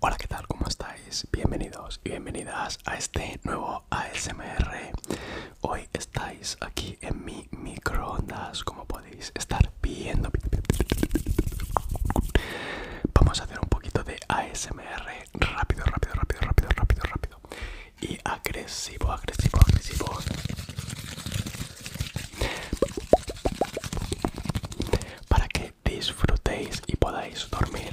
Hola, ¿qué tal? ¿Cómo estáis? Bienvenidos y bienvenidas a este nuevo ASMR. Hoy estáis aquí en mi microondas, como podéis estar viendo. Vamos a hacer un poquito de ASMR rápido, rápido, rápido, rápido, rápido, rápido. Y agresivo, agresivo, agresivo. Para que disfrutéis y podáis dormir.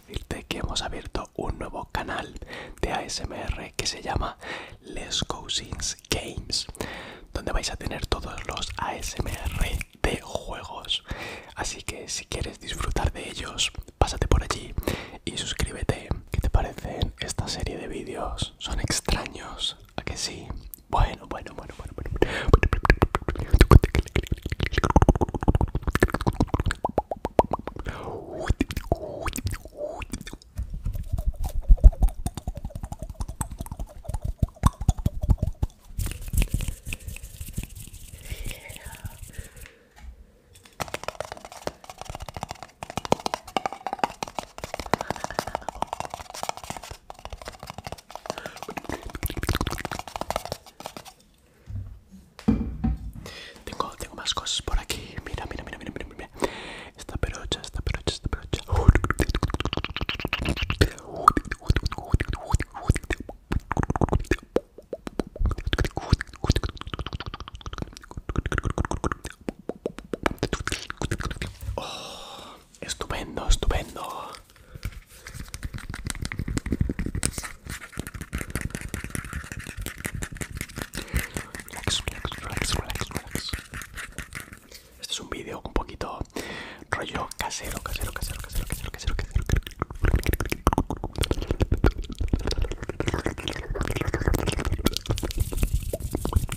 decirte que hemos abierto un nuevo canal de ASMR que se llama Les Cousins Games, donde vais a tener todos los ASMR de juegos. Así que si quieres disfrutar de ellos, pásate por allí y suscríbete. ¿Qué te parecen esta serie de vídeos? Son extraños, ¿a que sí? Bueno. bueno, bueno, bueno, bueno, bueno. Tengo, tengo más cosas por aquí. Mira, mira, mira, mira, mira, Esta esta esta oh. Estupendo, estupendo. Relax, relax, relax, relax. Este es un vídeo un poquito rollo casero, casero, casero, casero, casero, casero, casero.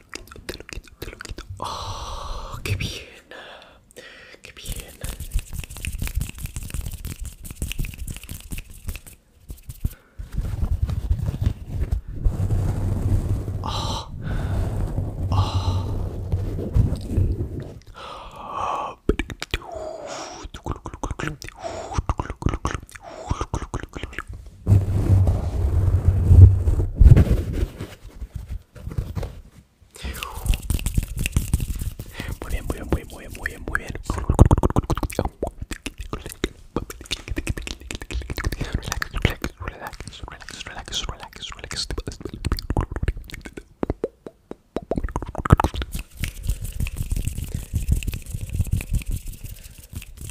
lo quito, te lo quito, te lo quito. Ah, qué bien! ¡Qué bien! Oh. Oh. Muy bien, muy bien, muy bien, muy bien, muy bien. Relax, relax, relax, relax, relax, relax, relax.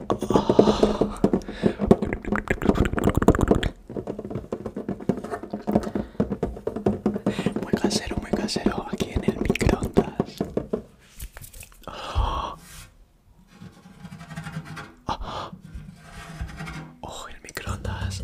Muy casero, muy casero, aquí en el microondas. oh el microondas.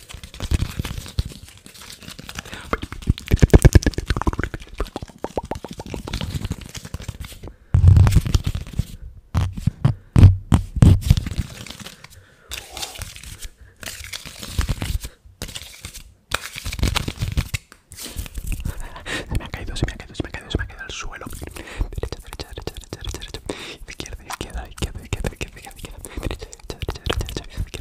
Se me ha caído, se me ha caído, se me ha caído, se me ha caído al suelo. Derecha, derecha, derecha, derecha, derecha, Izquierda, izquierda, izquierda, izquierda, derecha,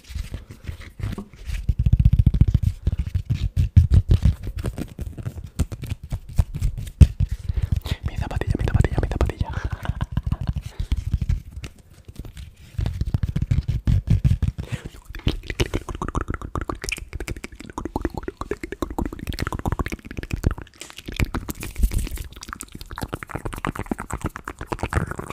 Mi zapatilla, mi zapatilla, mi zapatilla.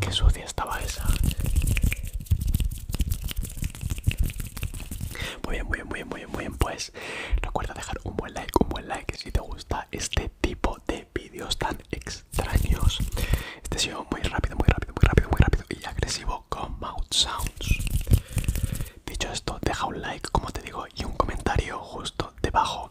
qué sucia estaba esa. Muy bien, muy bien, muy bien, muy bien, muy bien. Pues recuerda dejar un buen like, un buen like si te gusta este tipo de vídeos tan extraños. Este ha sido muy rápido, muy rápido, muy rápido, muy rápido y agresivo con Mouth Sounds. Dicho esto, deja un like, como te digo, y un comentario justo debajo